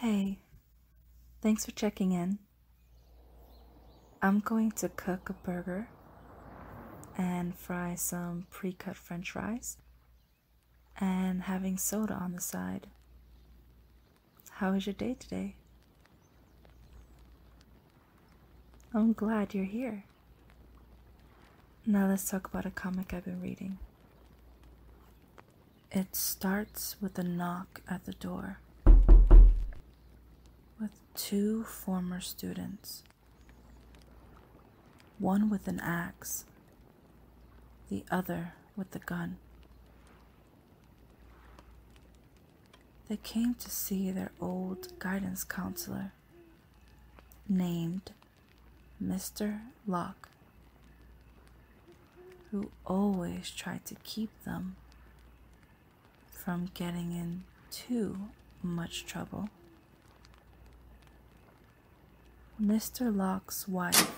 Hey, thanks for checking in. I'm going to cook a burger and fry some pre cut french fries and having soda on the side. How was your day today? I'm glad you're here. Now let's talk about a comic I've been reading. It starts with a knock at the door with two former students, one with an axe, the other with the gun. They came to see their old guidance counselor named Mr. Locke who always try to keep them from getting into much trouble. Mr. Locke's wife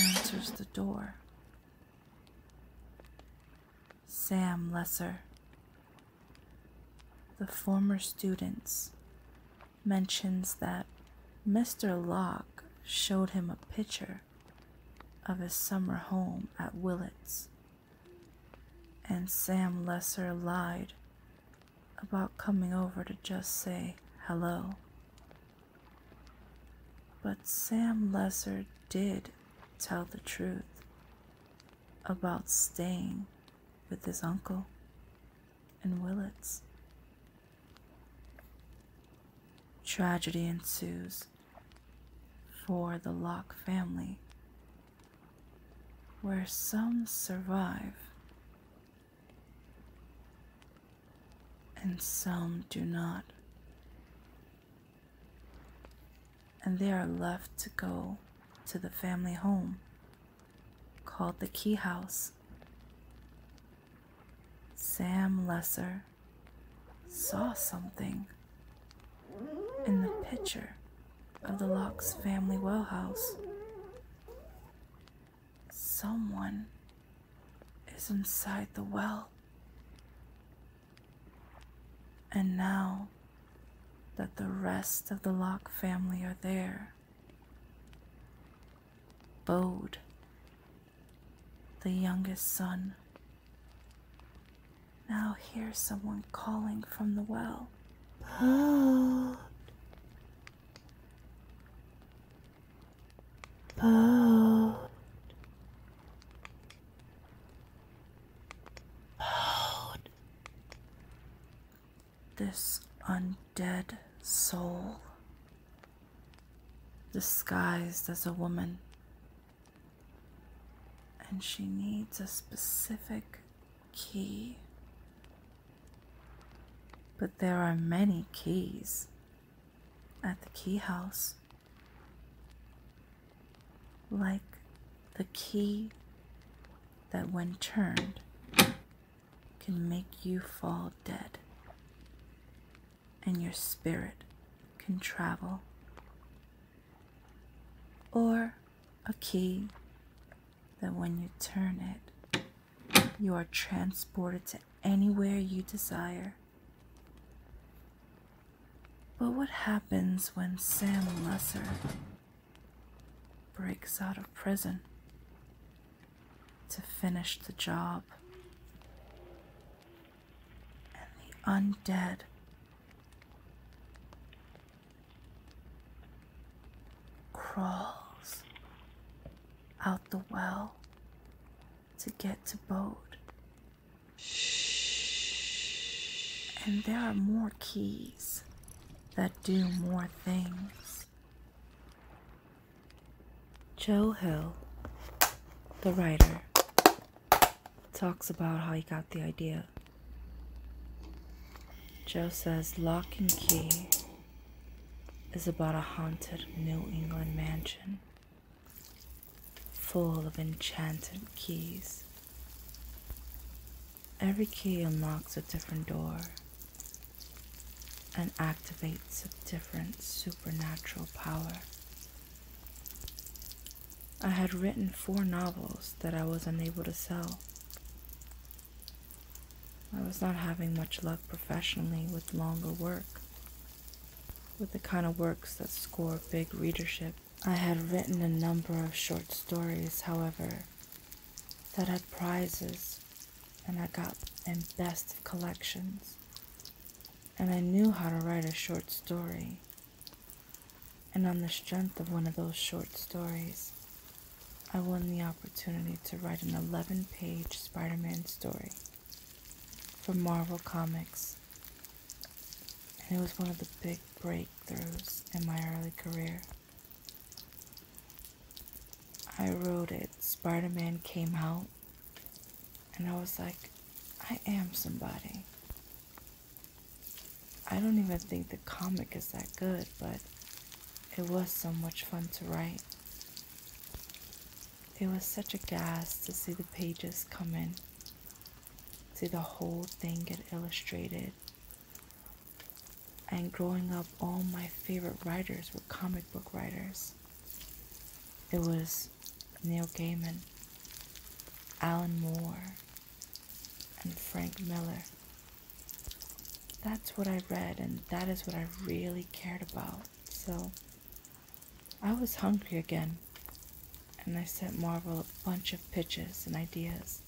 answers the door. Sam Lesser, the former students mentions that Mr. Locke showed him a picture of his summer home at Willits, and Sam Lesser lied about coming over to just say hello. But Sam Lesser did tell the truth about staying with his uncle and Willets. Tragedy ensues for the Locke family, where some survive and some do not, and they are left to go to the family home called the Key House Sam Lesser saw something in the picture of the Locks family well Someone is inside the well. And now that the rest of the Locke family are there, Bode, the youngest son. Now hear someone calling from the well. Bode. Bode. Bode this undead soul disguised as a woman. And she needs a specific key. But there are many keys at the key house. Like the key that, when turned, can make you fall dead, and your spirit can travel. Or a key that when you turn it, you are transported to anywhere you desire. But what happens when Sam Lesser breaks out of prison? to finish the job. And the undead crawls out the well to get to Bode. And there are more keys that do more things. Joe Hill, the writer, talks about how he got the idea. Joe says Lock and Key is about a haunted New England mansion full of enchanted keys. Every key unlocks a different door and activates a different supernatural power. I had written four novels that I was unable to sell. I was not having much luck professionally with longer work, with the kind of works that score big readership. I had written a number of short stories, however, that had prizes and I got in best collections. And I knew how to write a short story. And on the strength of one of those short stories, I won the opportunity to write an 11 page Spider Man story for Marvel Comics. And it was one of the big breakthroughs in my early career. I wrote it, Spider Man came out, and I was like, I am somebody. I don't even think the comic is that good, but it was so much fun to write. It was such a gas to see the pages come in, see the whole thing get illustrated, and growing up all my favorite writers were comic book writers. It was Neil Gaiman, Alan Moore, and Frank Miller. That's what I read, and that is what I really cared about. So I was hungry again, and I sent Marvel a bunch of pitches and ideas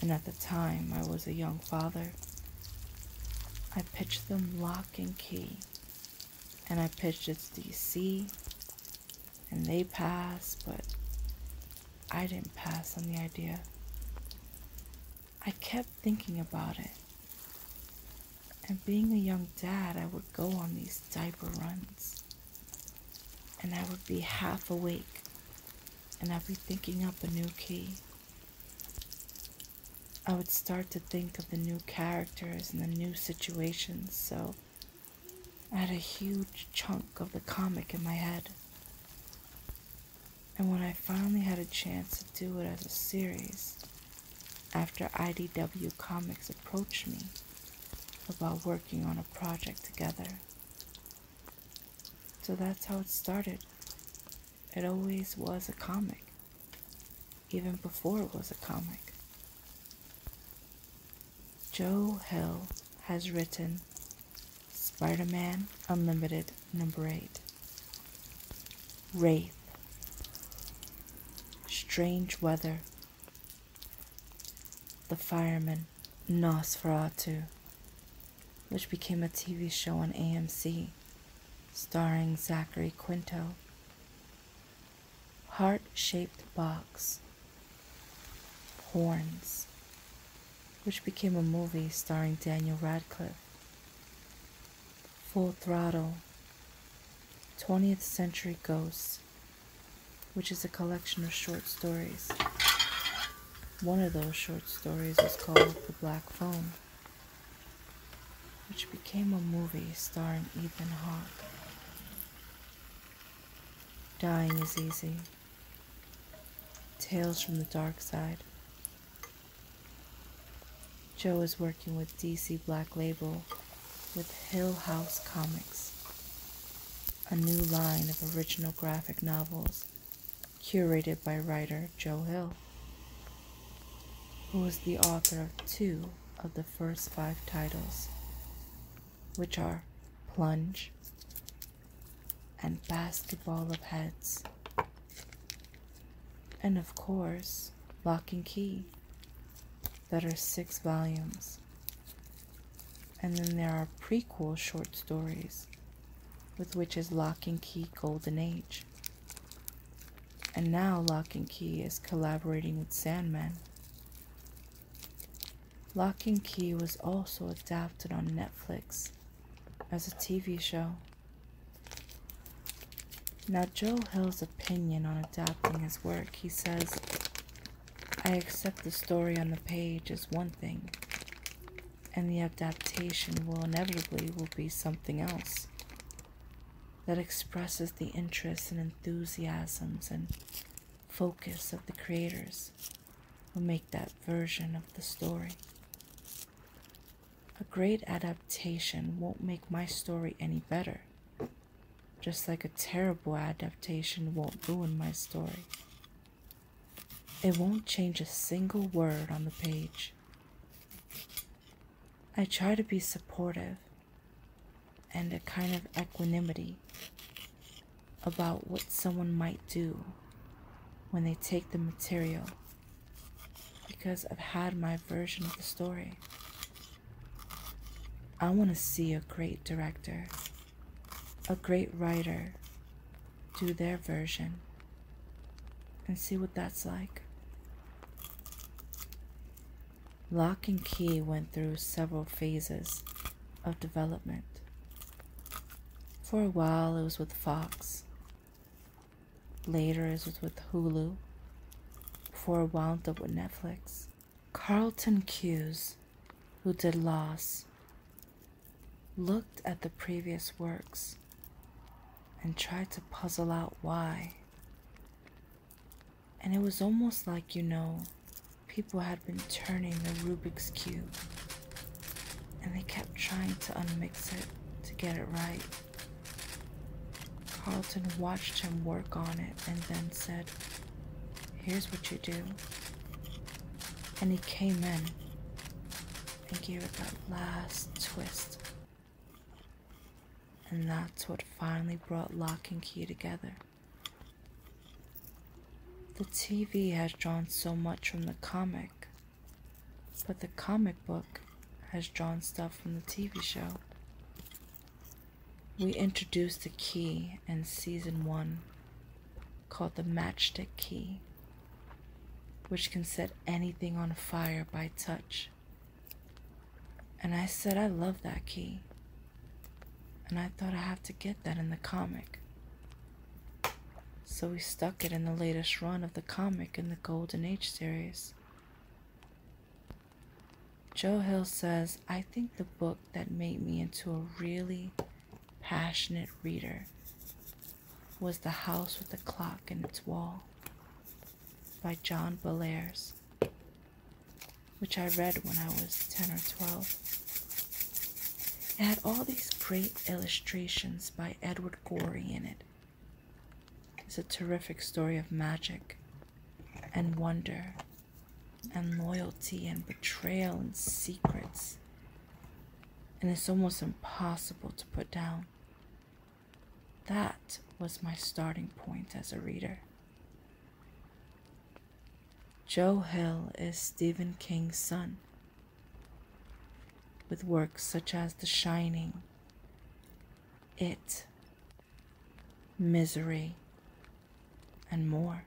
and at the time I was a young father. I pitched them lock and key, and I pitched its DC, and they passed, but I didn't pass on the idea. I kept thinking about it. And being a young dad, I would go on these diaper runs. And I would be half awake. And I'd be thinking up a new key. I would start to think of the new characters and the new situations, so I had a huge chunk of the comic in my head. And when I finally had a chance to do it as a series, after IDW Comics approached me about working on a project together. So that's how it started. It always was a comic, even before it was a comic. Joe Hill has written Spider Man Unlimited, number 8. Wraith. Strange Weather. The Fireman, Nosferatu which became a TV show on AMC starring Zachary Quinto. Heart shaped box, Horns, which became a movie starring Daniel Radcliffe. Full Throttle, 20th Century Ghosts, which is a collection of short stories one of those short stories is called The Black Phone, which became a movie starring Ethan Hawke. Dying is Easy, Tales from the Dark Side. Joe is working with DC Black Label with Hill House Comics, a new line of original graphic novels curated by writer Joe Hill, who was the author of two of the first five titles, which are Plunge and Basketball of Heads, and of course, Lock and Key, that are six volumes. And then there are prequel short stories with which is Lock and Key Golden Age. And now Lock and Key is collaborating with Sandman. Lock and Key was also adapted on Netflix as a TV show. Now, Joe Hill's opinion on adapting his work, he says, I accept the story on the page as one thing, and the adaptation will inevitably will be something else that expresses the interests and enthusiasms and focus of the creators who make that version of the story. A great adaptation won't make my story any better, just like a terrible adaptation won't ruin my story. It won't change a single word on the page. I try to be supportive and a kind of equanimity about what someone might do when they take the material because I've had my version of the story. I want to see a great director, a great writer, do their version and see what that's like. Lock and Key went through several phases of development. For a while, it was with Fox. Later, it was with Hulu. Before it was with Netflix. Carlton Cuse, who did Lost, looked at the previous works and tried to puzzle out why. And it was almost like, you know, people had been turning the Rubik's Cube and they kept trying to unmix it to get it right. Carlton watched him work on it and then said, Here's what you do. And he came in and give it that last twist. And that's what finally brought lock and key together. The TV has drawn so much from the comic, but the comic book has drawn stuff from the TV show. We introduced the key in season one called the matchstick key which can set anything on fire by touch. And I said, I love that key. And I thought I have to get that in the comic. So we stuck it in the latest run of the comic in the Golden Age series. Joe Hill says, I think the book that made me into a really passionate reader was The House with the Clock in Its Wall by John Bellairs, which I read when I was 10 or 12. It had all these great illustrations by Edward Gorey in it. It's a terrific story of magic and wonder and loyalty and betrayal and secrets and it's almost impossible to put down. That was my starting point as a reader. Joe Hill is Stephen King's son. With works such as The Shining, It, Misery, and more.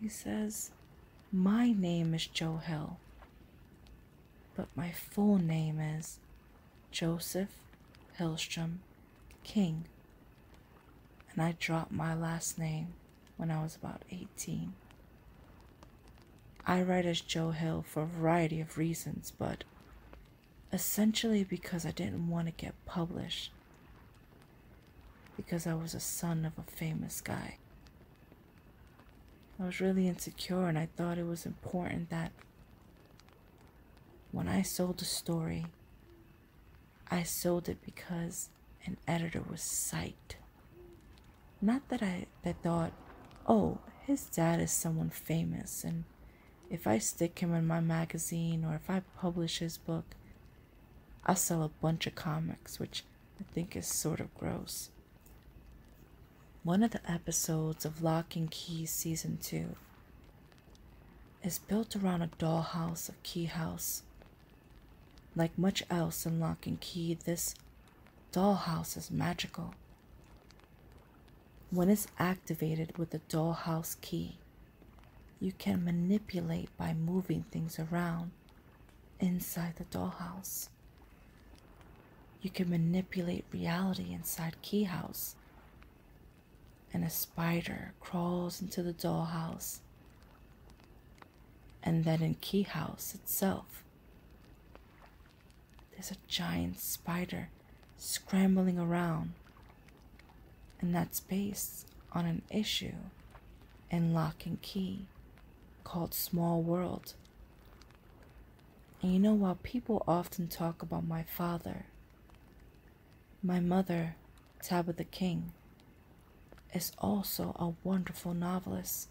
He says, My name is Joe Hill, but my full name is Joseph Hillstrom King, and I dropped my last name when I was about 18. I write as Joe Hill for a variety of reasons, but essentially because I didn't want to get published because I was a son of a famous guy. I was really insecure, and I thought it was important that when I sold a story, I sold it because an editor was psyched. Not that I that thought, oh, his dad is someone famous, and if I stick him in my magazine or if I publish his book, I sell a bunch of comics, which I think is sort of gross. One of the episodes of Lock and Key Season 2 is built around a dollhouse of Key House. Like much else in Lock and Key, this dollhouse is magical. When it's activated with the dollhouse key, you can manipulate by moving things around inside the dollhouse. You can manipulate reality inside Keyhouse, And a spider crawls into the dollhouse. And then in Keyhouse itself, there's a giant spider scrambling around and that's based on an issue in Lock and Key called Small World. And you know, while people often talk about my father, my mother, Tabitha King, is also a wonderful novelist.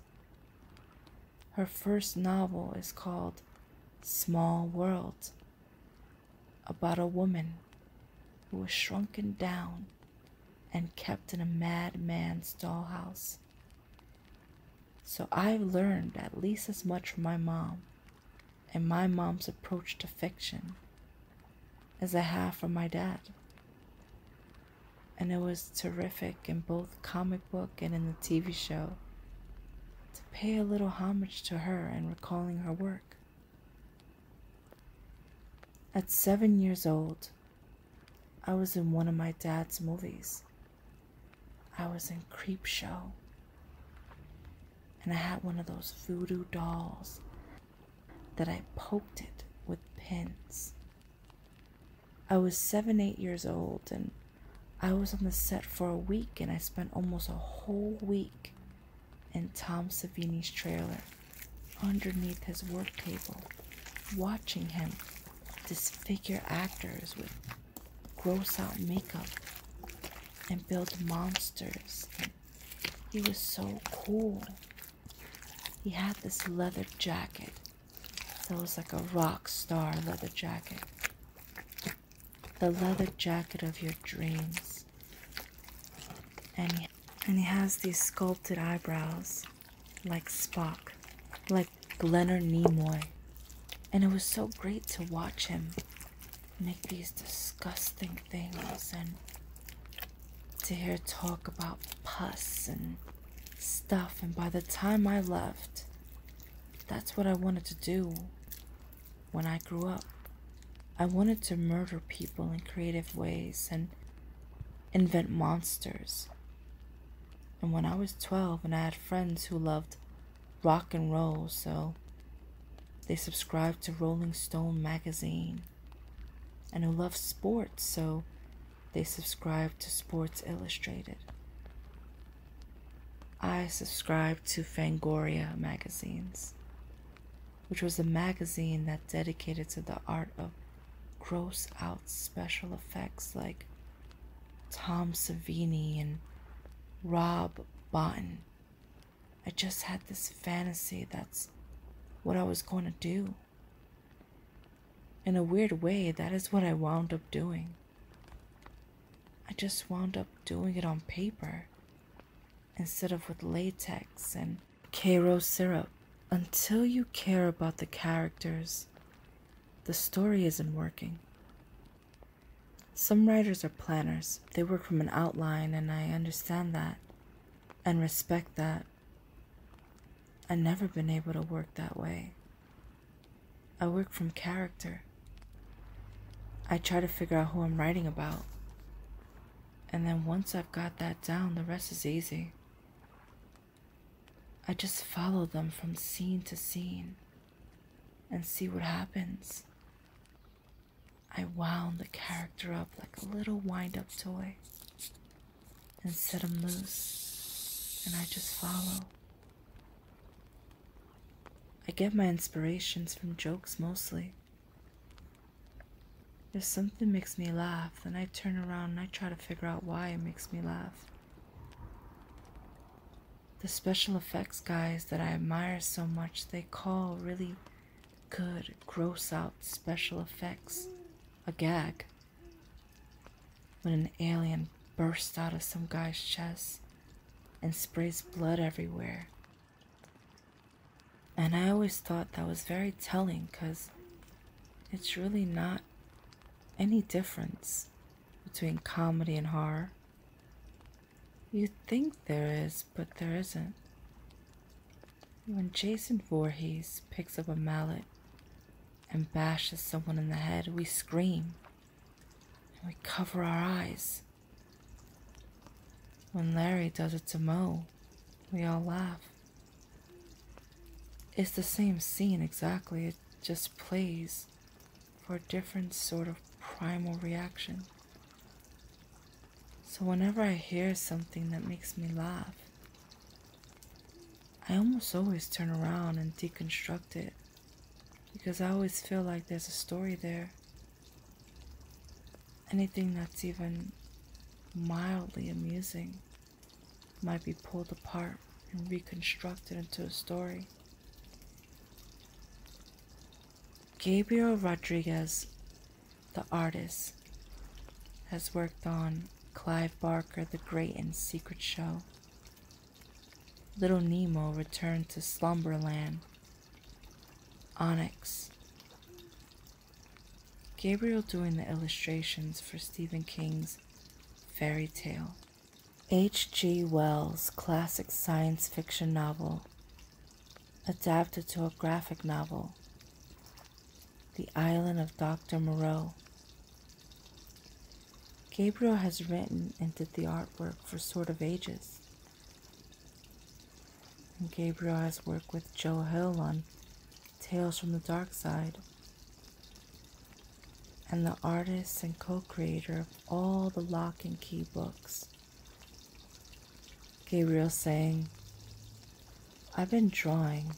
Her first novel is called Small World, about a woman who was shrunken down and kept in a madman's dollhouse. So I've learned at least as much from my mom and my mom's approach to fiction as I have from my dad. And it was terrific in both comic book and in the TV show to pay a little homage to her and recalling her work. At seven years old, I was in one of my dad's movies. I was in Creep Show. And I had one of those voodoo dolls that I poked it with pins. I was seven, eight years old, and I was on the set for a week, and I spent almost a whole week and Tom Savini's trailer underneath his work table, watching him disfigure actors with gross out makeup and build monsters. he was so cool. He had this leather jacket. So it was like a rock star leather jacket. The leather jacket of your dreams. And and he has these sculpted eyebrows, like Spock, like Leonard Nimoy. And it was so great to watch him make these disgusting things and to hear talk about pus and stuff. And by the time I left, that's what I wanted to do when I grew up. I wanted to murder people in creative ways and invent monsters. And when I was 12 and I had friends who loved rock and roll, so they subscribed to Rolling Stone magazine, and who loved sports, so they subscribed to Sports Illustrated. I subscribed to Fangoria magazines which was a magazine that dedicated to the art of gross out special effects like Tom Savini and Rob Botton. I just had this fantasy that's what I was going to do. In a weird way, that is what I wound up doing. I just wound up doing it on paper instead of with latex and Cairo syrup. Until you care about the characters, the story isn't working. Some writers are planners. They work from an outline, and I understand that and respect that. I've never been able to work that way. I work from character. I try to figure out who I'm writing about. And then once I've got that down, the rest is easy. I just follow them from scene to scene and see what happens. I wound the character up like a little wind up toy and set 'em loose, and I just follow. I get my inspirations from jokes mostly, if something makes me laugh, then I turn around and I try to figure out why it makes me laugh. The special effects guys that I admire so much, they call really good, gross out special effects a gag. When an alien bursts out of some guy's chest and sprays blood everywhere, and I always thought that was very telling because it's really not any difference between comedy and horror. You think there is, but there isn't. When Jason Voorhees picks up a mallet and bashes someone in the head, we scream and we cover our eyes. When Larry does it to Mo, we all laugh. It's the same scene exactly, it just plays for a different sort of primal reaction. So whenever I hear something that makes me laugh, I almost always turn around and deconstruct it because I always feel like there's a story there Anything that's even mildly amusing might be pulled apart and reconstructed into a story. Gabriel Rodriguez, the artist, has worked on Clive Barker, The Great and Secret Show. Little Nemo returned to Slumberland Onyx. Gabriel doing the illustrations for Stephen King's fairy tale. H.G. Wells' classic science fiction novel, adapted to a graphic novel, The Island of Dr. Moreau. Gabriel has written and did the artwork for Sort of Ages. And Gabriel has worked with Joe Hill on Tales from the Dark Side. And the artist and co creator of all the lock and key books. Gabriel saying, I've been drawing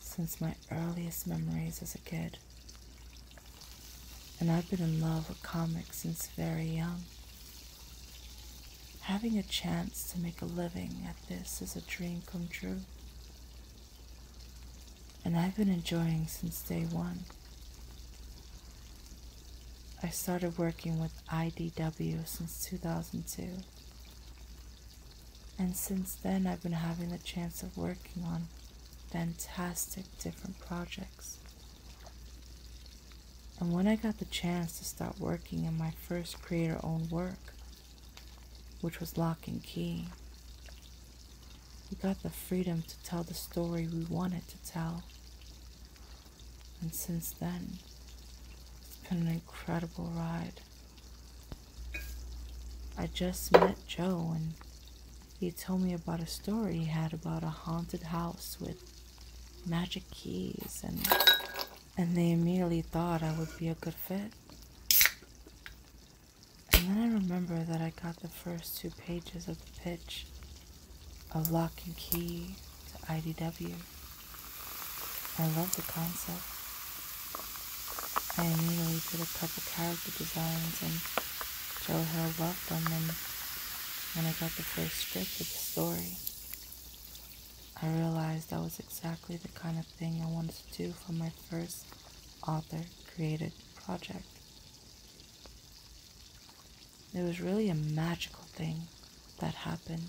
since my earliest memories as a kid. And I've been in love with comics since very young. Having a chance to make a living at this is a dream come true. And I've been enjoying since day one. I started working with IDW since 2002. And since then, I've been having the chance of working on fantastic different projects and when I got the chance to start working in my first creator owned work, which was Lock and Key, we got the freedom to tell the story we wanted to tell. And since then, it's been an incredible ride. I just met Joe and he told me about a story he had about a haunted house with magic keys and and they immediately thought I would be a good fit. And then I remember that I got the first two pages of the pitch of lock and key to IDW. I love the concept. I immediately did a couple character designs and Joe Hill loved them and when I got the first strip of the story, I realized that was exactly the kind of thing I wanted to do for my first author created project. It was really a magical thing that happened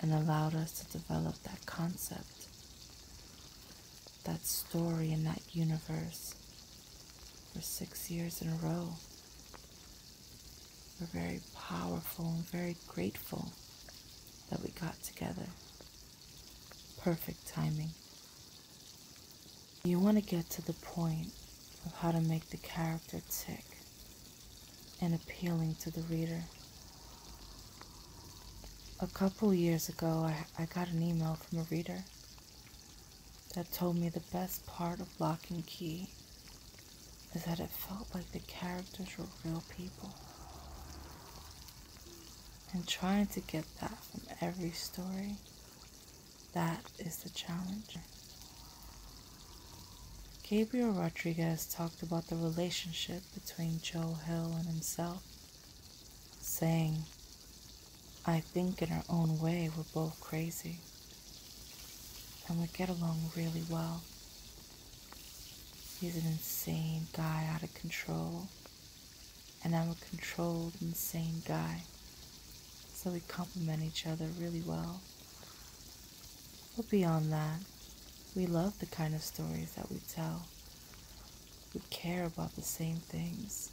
and allowed us to develop that concept, that story, and that universe for six years in a row. We're very powerful and very grateful that we got together. Perfect timing. You want to get to the point of how to make the character tick and appealing to the reader. A couple years ago, I, I got an email from a reader that told me the best part of Lock and Key is that it felt like the characters were real people. And trying to get that from every story, that is the challenge. Gabriel Rodriguez talked about the relationship between Joe Hill and himself, saying, I think in our own way we're both crazy and would get along really well. He's an insane guy out of control, and I'm a controlled, insane guy. So we complement each other really well. But beyond that, we love the kind of stories that we tell. We care about the same things.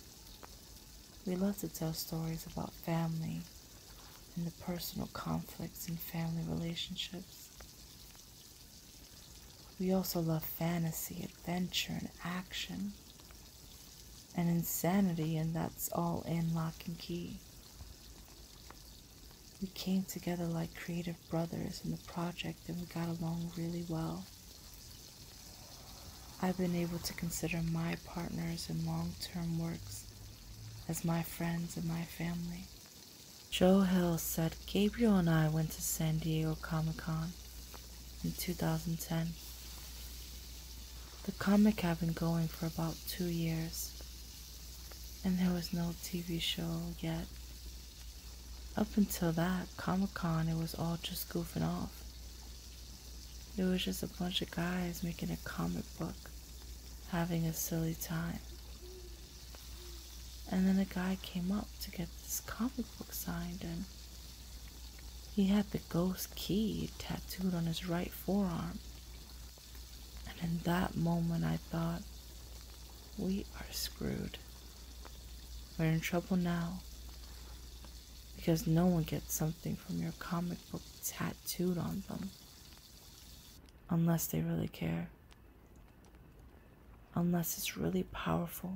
We love to tell stories about family and the personal conflicts in family relationships. We also love fantasy, adventure, and action, and insanity, and that's all in lock and key. We came together like creative brothers in the project, and we got along really well. I've been able to consider my partners in long term works as my friends and my family. Joe Hill said Gabriel and I went to San Diego Comic Con in 2010. The comic had been going for about two years, and there was no TV show yet. Up until that Comic Con, it was all just goofing off. It was just a bunch of guys making a comic book, having a silly time. And then a guy came up to get this comic book signed, and he had the ghost key tattooed on his right forearm. And in that moment, I thought, we are screwed. We're in trouble now because no one gets something from your comic book tattoo tattooed on them. Unless they really care. Unless it's really powerful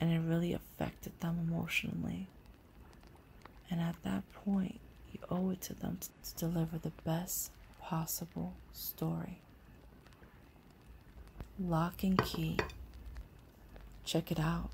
and it really affected them emotionally. And at that point, you owe it to them to deliver the best possible story. Lock and key. Check it out.